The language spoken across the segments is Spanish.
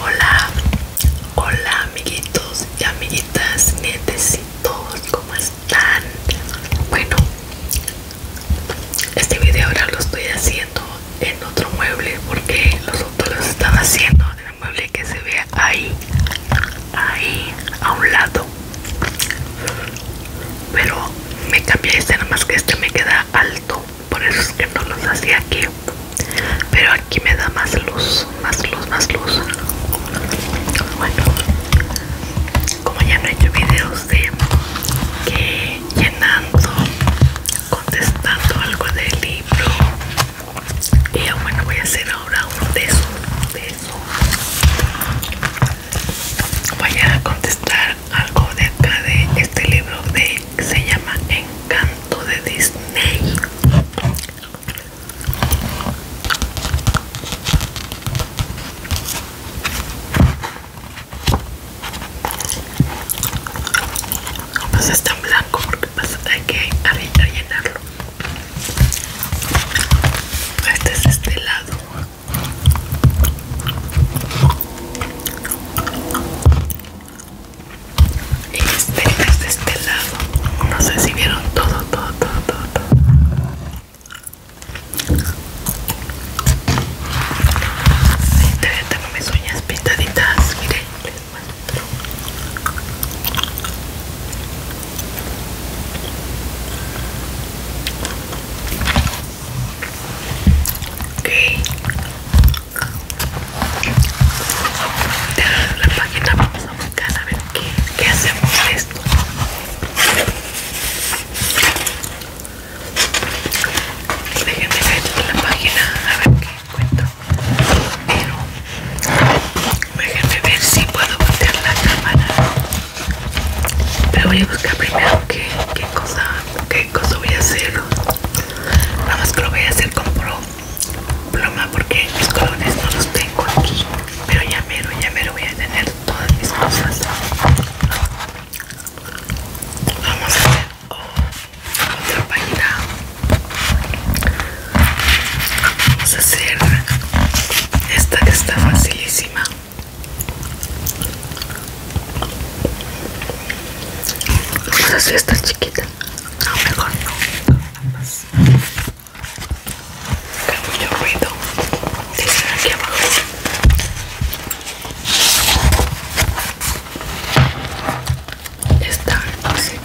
Hola, hola amiguitos y amiguitas, netecitos ¿cómo están? Bueno, este video ahora lo estoy haciendo en otro mueble porque los otros los estaba haciendo en el mueble que se ve ahí, ahí, a un lado. Pero me cambié este, nada más que este me queda alto por eso es que no los hacía aquí pero aquí me da más luz más luz más luz bueno como ya no he hecho videos de que llenando contestando algo del libro y bueno voy a hacer ahora uno de esos de voy a contestar algo de acá de este libro de se llama Encanto de Disney pues está en blanco porque pasa hay que rellenarlo este es este lado y este es de este lado no sé si vieron todo todo todo todo, todo. Ahí tengo mis uñas pintaditas miren les muestro ok la página vamos a buscar a ver qué, hacemos esto déjenme ver la página a ver qué encuentro pero déjenme ver si puedo voltear la cámara pero voy a buscar primero qué, qué cosa, qué cosa voy a hacer nada más que lo voy a hacer con pro, pluma porque los colores no los tengo pero ya mero ya mero voy a tener todas mis cosas vamos a hacer otra página vamos a hacer esta que está facilísima pues así está chiquita. No, mejor no. Nada Hay mucho ruido. Dice aquí abajo. Esta no se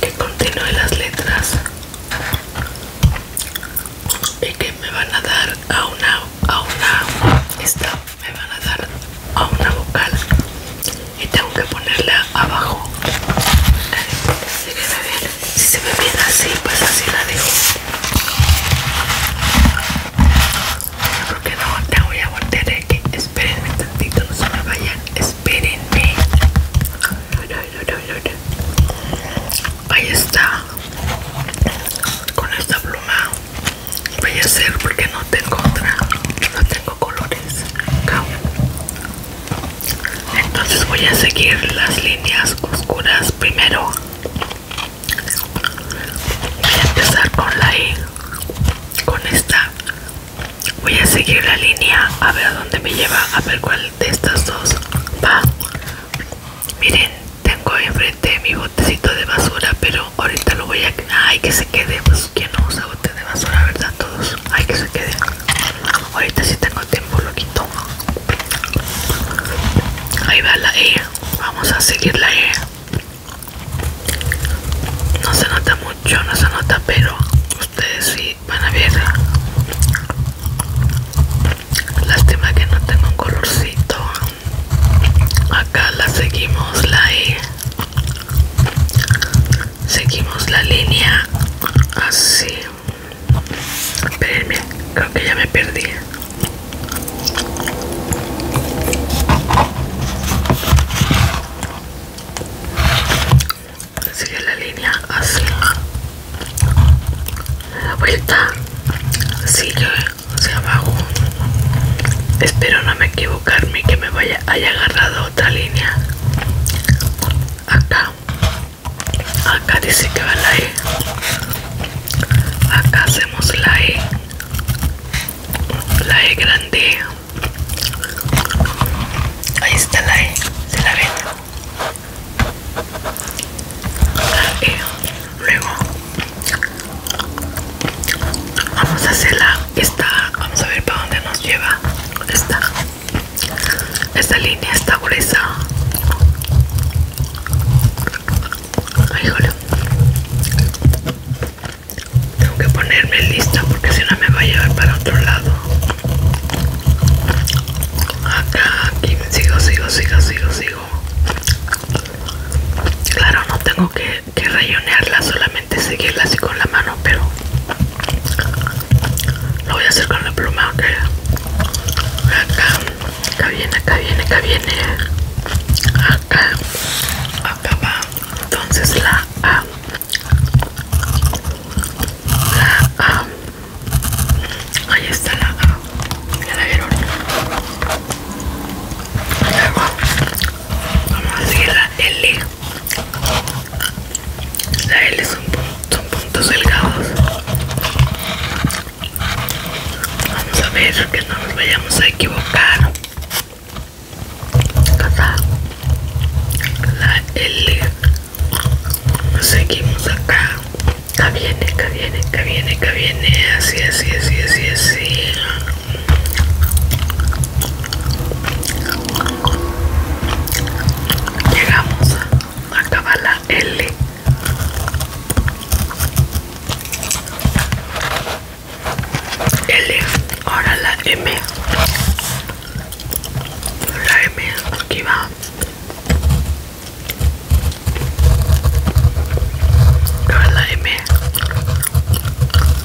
Que continúe las letras y que me van a dar a una a una esta me van a dar a una vocal y tengo que ponerla abajo si se ve bien, si se ve así pues así la dejo porque no te voy a voltear eh, esperenme un tantito no se me vayan espérenme Ahí está. Con esta pluma voy a hacer porque no tengo otra. No tengo colores. Entonces voy a seguir las líneas oscuras primero. Voy a empezar con la E. Con esta voy a seguir la línea a ver a dónde me lleva, a ver cuál de estas dos va. Miren, tengo enfrente mi botecito de basura, pero ahorita lo voy a... Ay, que se quede, pues que no usa bote de basura, ¿verdad? Todos. Ay, que se quede. Ahorita si sí tengo tiempo, lo quito. Ahí va la E. Vamos a seguir la E. No se nota mucho, no se nota, pero ustedes sí van a ver. Lástima que no tengo un colorcito. Acá la seguimos la E. Seguimos la línea. Así. Espérenme, creo que ya me perdí. Sigue la línea así la vuelta sigue hacia abajo espero no me equivocarme que me vaya haya agarrado otra línea acá acá dice que va la E acá hacemos la E la E grande ahí está la E se la ven y luego vamos a hacerla esta vamos a ver para dónde nos lleva esta esta línea está gruesa Ay, tengo que ponerme lista porque si no me va a llevar para otro lado acá aquí sigo sigo sigo sigo sigo claro no tengo que, que solamente seguirla así con la mano pero lo voy a hacer con la pluma ok acá acá viene acá viene acá viene acá acá va entonces la A la A Ahí está la, la vieron. Luego vamos a seguir la L. La L son, puntos delgados. Vamos a ver que no nos vayamos a equivocar. La L seguimos acá acá viene acá viene que viene que viene así así así así así llegamos a la L L ahora la M la M aquí va M?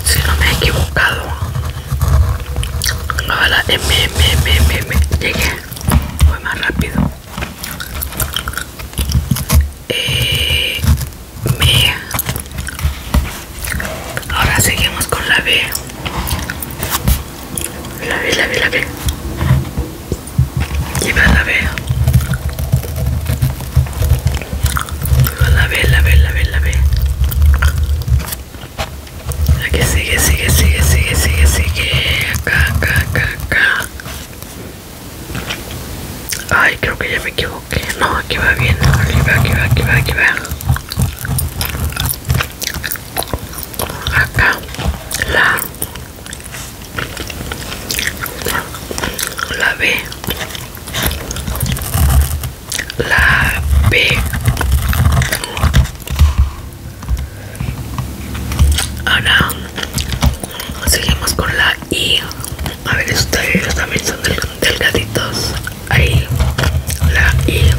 si no me he equivocado. la M, M, M, M, Llegué. Fue más rápido. Eh, me M. Ahora seguimos con la B. La ve, la ve, la ve. va la ve. La ve, la ve, la ve, la ve. Aquí sigue, sigue, sigue, sigue, sigue, sigue. Acá, acá, acá, acá. Ay, creo que ya me equivoqué. No, aquí va bien. Aquí va, aquí va, aquí va, aquí va. Acá. La la B la B ahora seguimos con la I a ver ustedes también son delgaditos ahí la I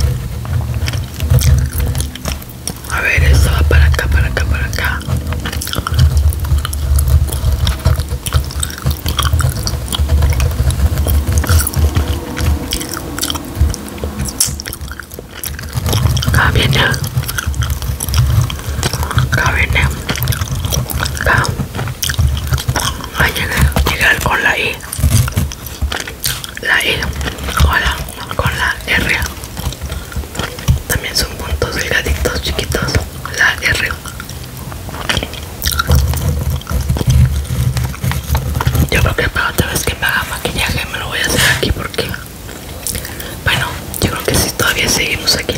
a ver, eso va para acá, para acá, para acá. Acá viene. Acá viene. Acá. Va a con la I. La I. Hola. Con la R también son puntos delgaditos chiquitos la R yo creo que para otra vez que me haga maquillaje me lo voy a hacer aquí porque bueno yo creo que si todavía seguimos aquí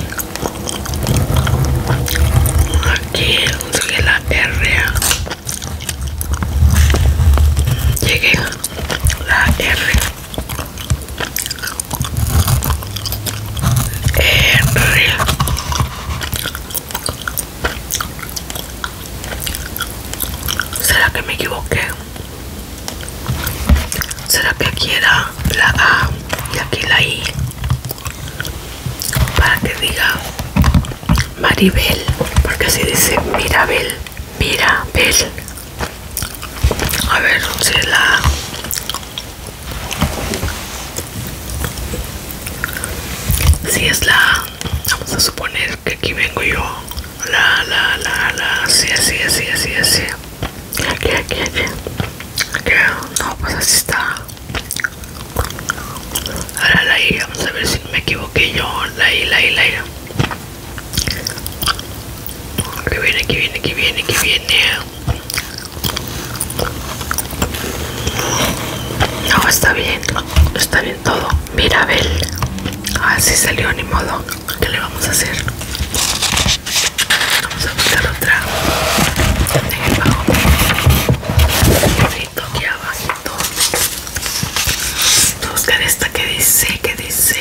aquí la R llegué la R eh, ¿Será que me equivoqué? ¿Será que aquí era la A y aquí la I? Para que diga Maribel, porque así dice Mirabel, Mirabel, a ver si la si es la vamos a suponer que aquí vengo yo la la la la así así así así así aquí aquí aquí aquí no pues así está ahora la i vamos a ver si me equivoqué yo la i la i la Aquí viene, que viene, que viene, que viene. No, está bien. Está bien todo. Mira, Mirabel. Así ah, salió, ni modo. ¿Qué le vamos a hacer? Vamos a buscar otra. En el bajo. aquí abajo. Vamos a buscar esta que dice, que dice.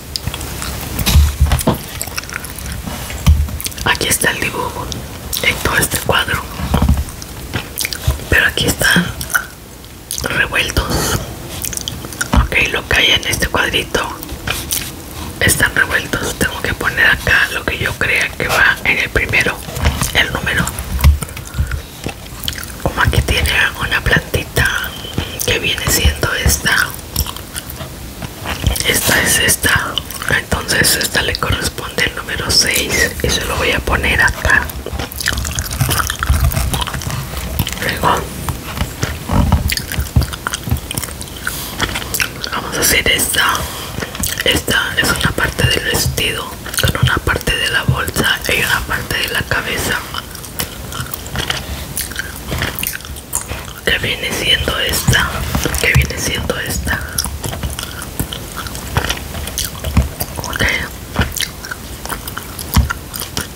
Aquí está el dibujo en todo este cuadro, pero aquí están revueltos. Ok, lo que hay en este cuadrito están revueltos. Tengo que poner acá lo que yo crea que va en el primero, el número. Como aquí tiene una plantita que viene siendo esta esta es esta entonces esta le corresponde el número 6 y se lo voy a poner acá luego vamos a hacer esta esta es una parte del vestido con una parte de la bolsa y una parte de la cabeza que viene siendo esta que viene siendo esta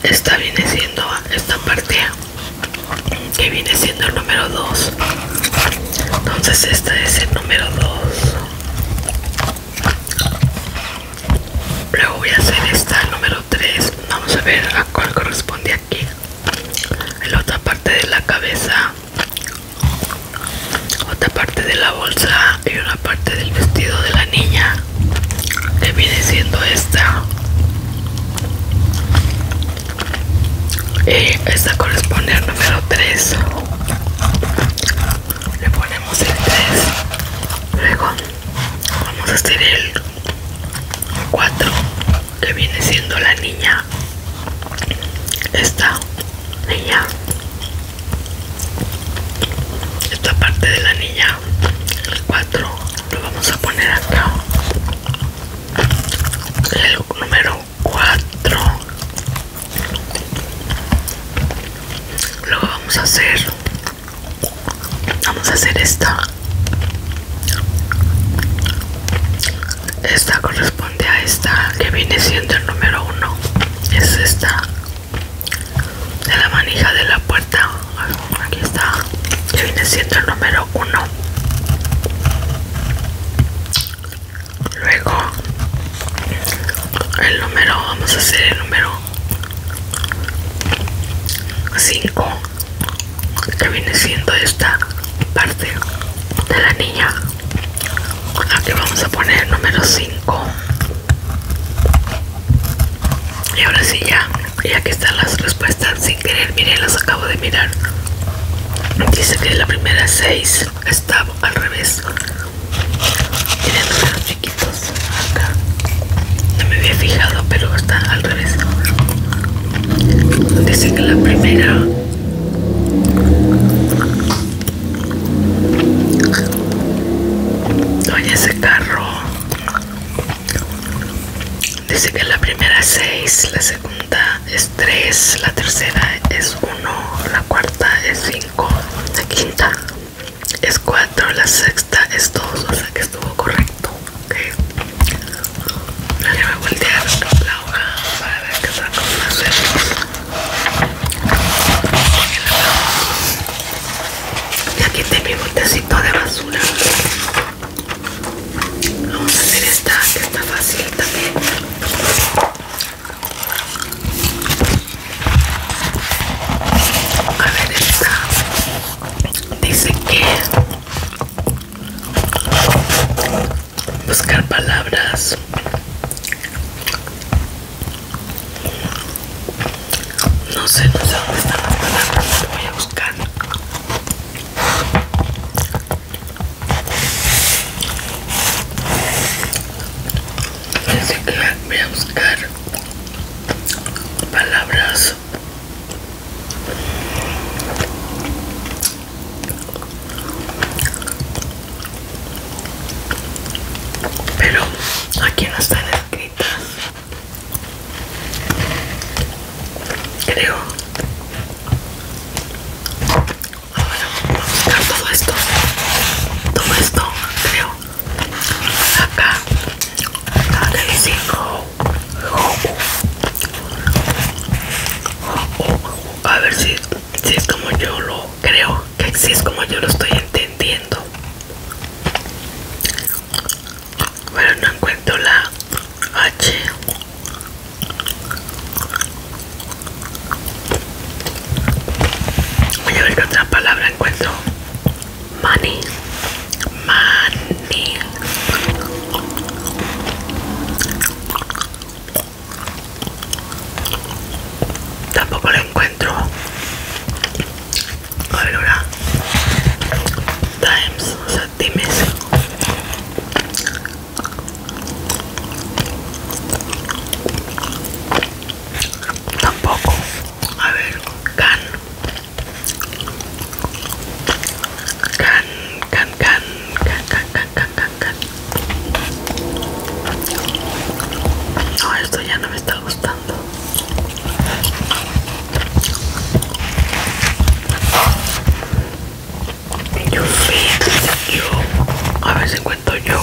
esta viene siendo esta parte que viene siendo el número 2 entonces esta es el número 2 luego voy a hacer esta el número 3 vamos a ver a cuál corresponde aquí en la otra parte de la cabeza otra parte de la bolsa y una parte del vestido de la niña que viene siendo esta y esta corresponde al número 3 le ponemos el 3 luego vamos a hacer el 4 que viene siendo la niña esta niña esta parte de la niña el 4 lo vamos a poner acá el número 4 lo vamos a hacer vamos a hacer esta esta corresponde a esta que viene siendo el número uno es esta de la manija de la puerta aquí está que viene siendo el número uno luego el número vamos a hacer el número 5 que viene siendo esta parte de la niña aquí vamos a poner el número 5 y ahora sí ya ya que están las respuestas sin querer miren las acabo de mirar dice que la primera 6 estaba al revés tiene números chiquitos acá no me había fijado pero está al revés Dice que la primera Oye ese carro Dice que la primera es 6 La segunda es 3 La tercera es 1 La cuarta es 5 La quinta es 4 La sexta es 2 O sea que estuvo correcto ok ahora voy a voltear la hoja para ver qué saco más y aquí está mi botecito de basura vamos a hacer esta que está fácil también a ver esta dice que buscar palabras no sé no sé dónde están las palabras voy a buscar voy a buscar palabras pero aquí no están escritas creo vamos a buscar todo esto todo esto creo acá la del a ver si, es como yo lo creo, que si es como yo lo estoy entendiendo. Bueno, no encuentro la H. Voy a ver qué otra palabra encuentro. Money. Manny Tampoco lo encuentro ahora Times, o sea, Times Tampoco A ver, Can Can, can, can, can, can, can, can, can, No, esto ya no me está gustando. Yo, A ver si encuentro yo.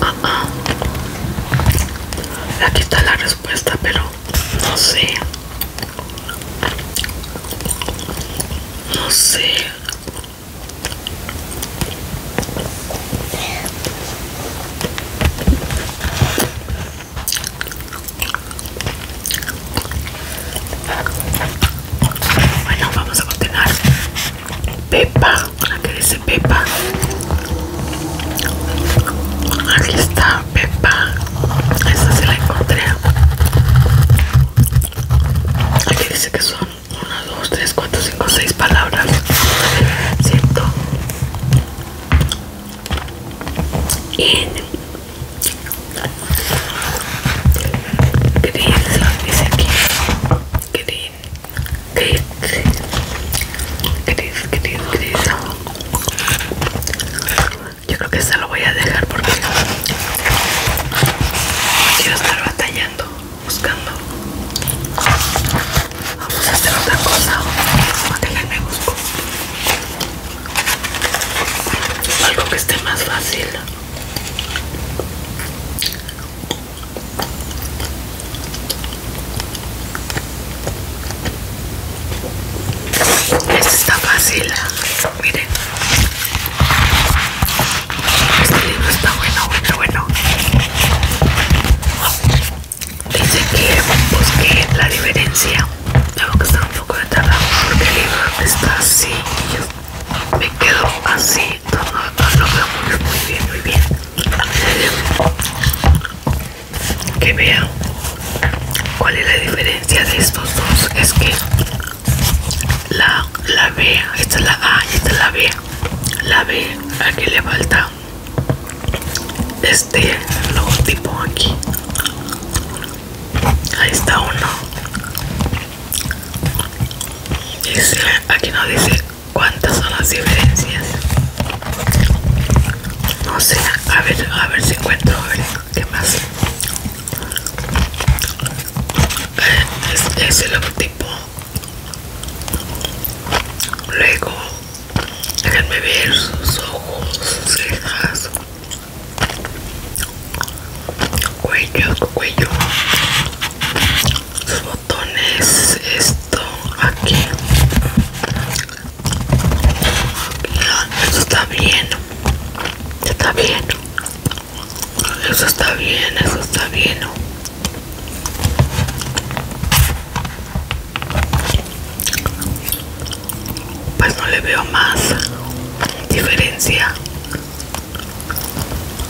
Ah, ah, Aquí está la respuesta, pero no sé. No sé. Bueno, vamos a continuar. Pepa, la dice Pepa. Aquí está Pepa. Esa se la encontré. Aquí dice que son 1, 2, 3, 4, 5, 6 palabras. ¿Cierto? Y Gris, dice aquí. Gris, gris, gris, Kris. Yo creo que esta lo voy a dejar porque quiero estar batallando, buscando. Vamos a hacer otra cosa. me busco algo que esté más fácil. Este está fácil, miren. Este libro está bueno, bueno, bueno. Dice que busqué la diferencia. Tengo que estar un poco de trabajo porque el libro está así me quedo así todo lo veo muy, bien muy bien que vean cuál es la diferencia de estos dos es que la, la B esta es la A esta es la B la B aquí le falta este logotipo aquí ahí está uno aquí nos dice cuántas son las diferencias. No sé, a ver, a ver si encuentro, a ver qué más. Eh, es, es el logotipo. Luego, déjenme ver sus ojos, sus cejas, cuello, cuello los botones esto aquí eso está bien está bien eso está bien eso está bien pues no le veo más diferencia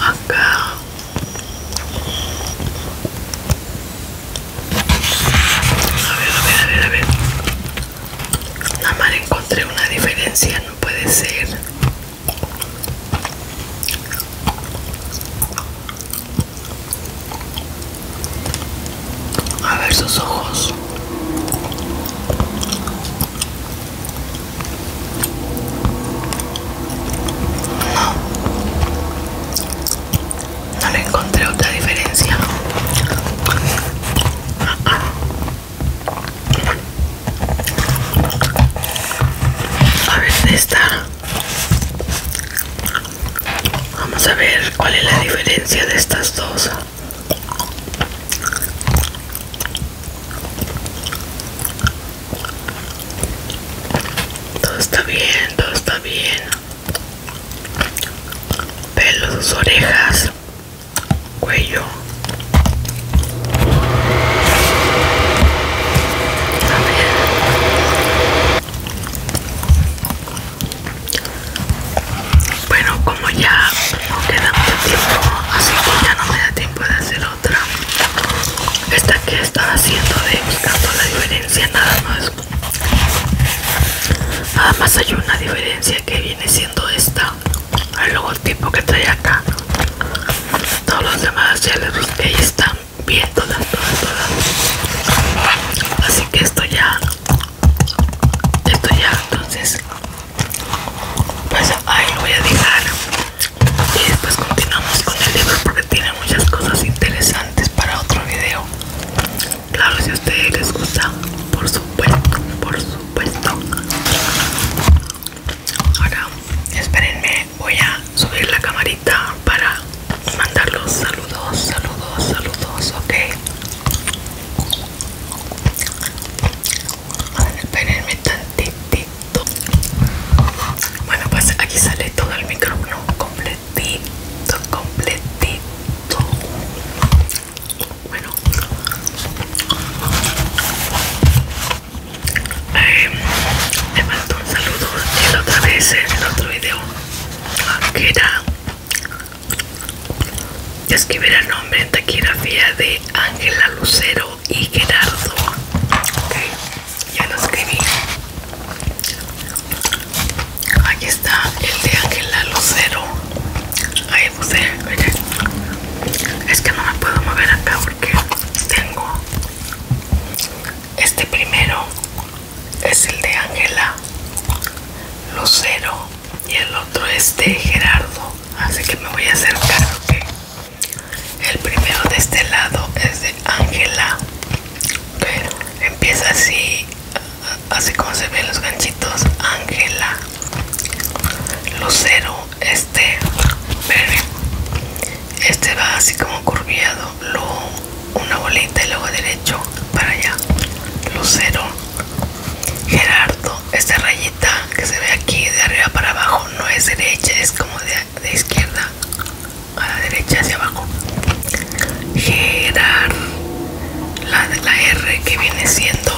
acá a ver, a ver, a ver, a ver nada más encontré una diferencia, no puede ser a ver sus ojos no le encontré otra diferencia. A ver esta. Vamos a ver cuál es la diferencia de estas dos. Todo está bien, todo está bien. Pelos, orejas, cuello. Bueno, como ya no queda mucho tiempo, así que ya no me da tiempo de hacer otra. Esta que estado haciendo de tanto la diferencia nada más. más hay una diferencia que viene siendo esta. El logotipo que trae acá. Todos los demás ya que ahí están bien todas, todas. Así que esto ya. Esto ya, entonces pues ahí lo voy a dejar y después continuamos con el libro porque tiene muchas cosas interesantes para otro video. Claro, si a ustedes les gusta, por supuesto, por supuesto. Ahora, espérenme, voy a subir la camarita para mandar los saludos, saludos, saludos, ok espérenme tantito bueno pues aquí sale todo el micrófono completito completito bueno eh, em, me mandó un saludo la otra vez en el otro video ah, que era escribir el nombre en taquigrafía de Ángela Lucero y Gerardo. Ok, ya lo escribí. Aquí está el de Ángela Lucero. Ahí puse, miren. Es que no me puedo mover acá porque tengo este primero. Es el de Ángela Lucero y el otro es de Gerardo así que me voy a acercar el primero de este lado es de Ángela pero empieza así así como se ven los ganchitos Ángela Lucero este este va así como curviado luego una bolita y luego derecho para allá Lucero Gerardo, esta rayita que se ve aquí de arriba para abajo no es derecha, es como de, izquierda a la derecha hacia abajo. Gerar, la, la R que viene siendo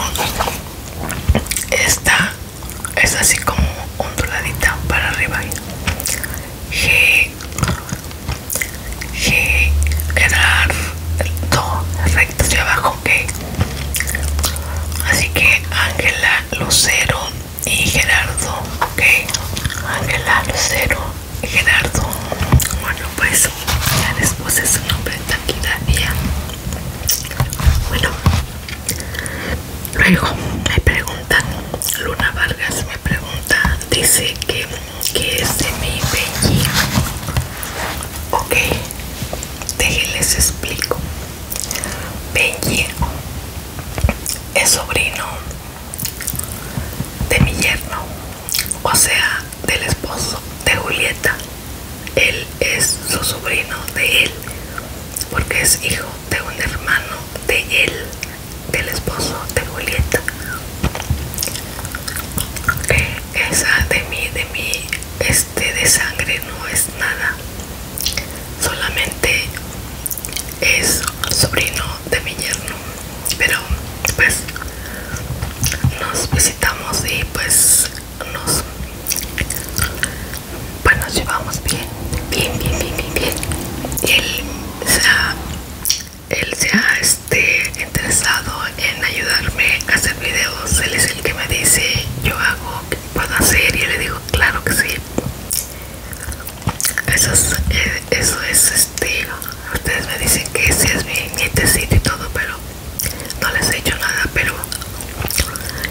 esta, es así como onduladita para arriba. G, Gerardo, recto hacia abajo, que Así que Ángela Lucero y Gerardo, ok. Ángela Lucero y Gerardo. Bueno, pues ya después puse su nombre taquigrafía. Bueno, luego me preguntan, Luna Vargas me pregunta, dice que, es de mi Benji. Ok, les explico Benji es sobrino de mi yerno o sea del esposo de Julieta él es su sobrino de él porque es hijo de un hermano de él del esposo de Julieta eh, esa de mí de mí es este, de sangre no es nada solamente es sobrino de mi yerno pero pues nos visitamos y pues nos pues, nos llevamos bien bien bien bien bien, él se ha, él se este, interesado en ayudarme a este vídeos él es el que me dice yo hago, puedo hacer y le digo claro que sí. Eso es, eh, eso es este, ustedes me dicen que si es mi nietecito y todo, pero no les he hecho nada, pero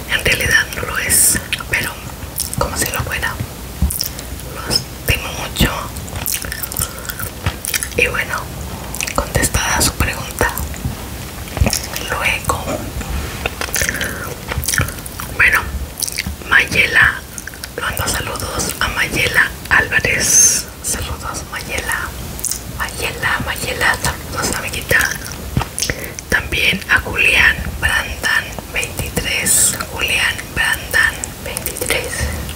en realidad no lo es, pero como si lo fuera. lo estimo mucho. Y bueno, contestada su pregunta. Luego, bueno, Mayela, mando saludos a Mayela Álvarez. Saludos, Mayela. Mayela, Mayela, saludos, amiguita. También a Julián Brandan 23. Julián Brandan 23.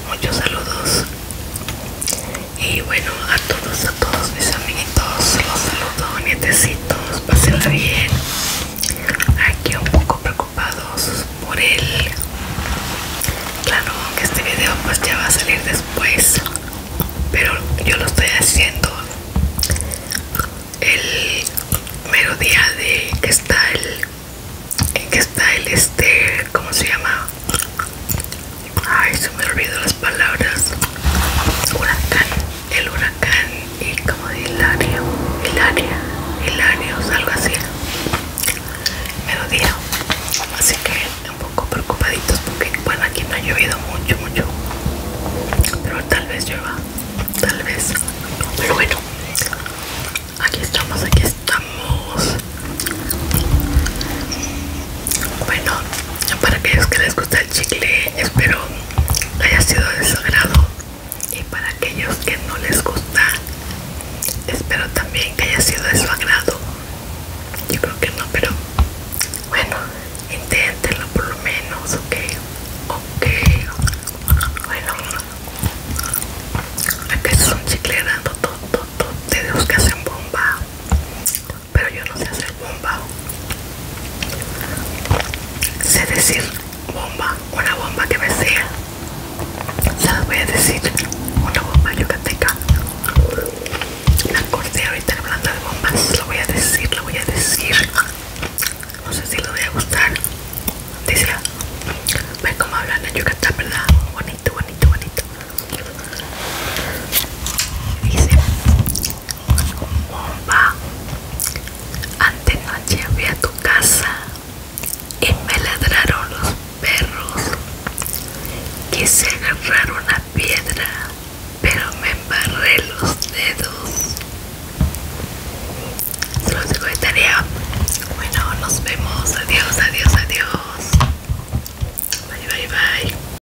Muchos saludos. Y bueno, a todos, a todos mis amiguitos, los saludo, nietecitos, pásenla bien. Aquí un poco preocupados por él. Claro, que este video pues ya va a salir después, pero yo lo estoy haciendo el merodía de que está el, que está el este, ¿cómo se llama? Ay, se me olvidó las palabras. Huracán, el huracán y como de Hilario, Hilaria, Hilarios, algo así. Melodía. Así que un poco preocupaditos porque, bueno, aquí no ha llovido mucho, mucho. Pero tal vez llueva, tal vez. Pero bueno, aquí estamos, aquí estamos. Bueno, para aquellos que les gusta el chicle, espero haya sido de su agrado. Y para aquellos que no les gusta, espero también que haya sido de su agrado. Yo creo que no, pero bueno, inténtenlo por lo menos, ok. Ok, bueno, aquí es un chicle de todo, todo, todo, te bomba pero yo no sé hacer bomba. Sé decir bomba, una bomba que me sea. Se voy a decir, una bomba yucateca. La corté ahorita hablando de bombas, lo voy a decir, lo voy a decir. No sé si lo voy a gustar. Dice, ve cómo hablan en Yucatán, ¿verdad? Bonito, bonito, bonito. Dice, bomba, antenoche fui a tu casa y me ladraron los perros. Quise agarrar una piedra, pero me embarré los dedos. Se los digo de tarea. Bueno, nos vemos. Adiós, adiós, adiós. Bye, bye, bye.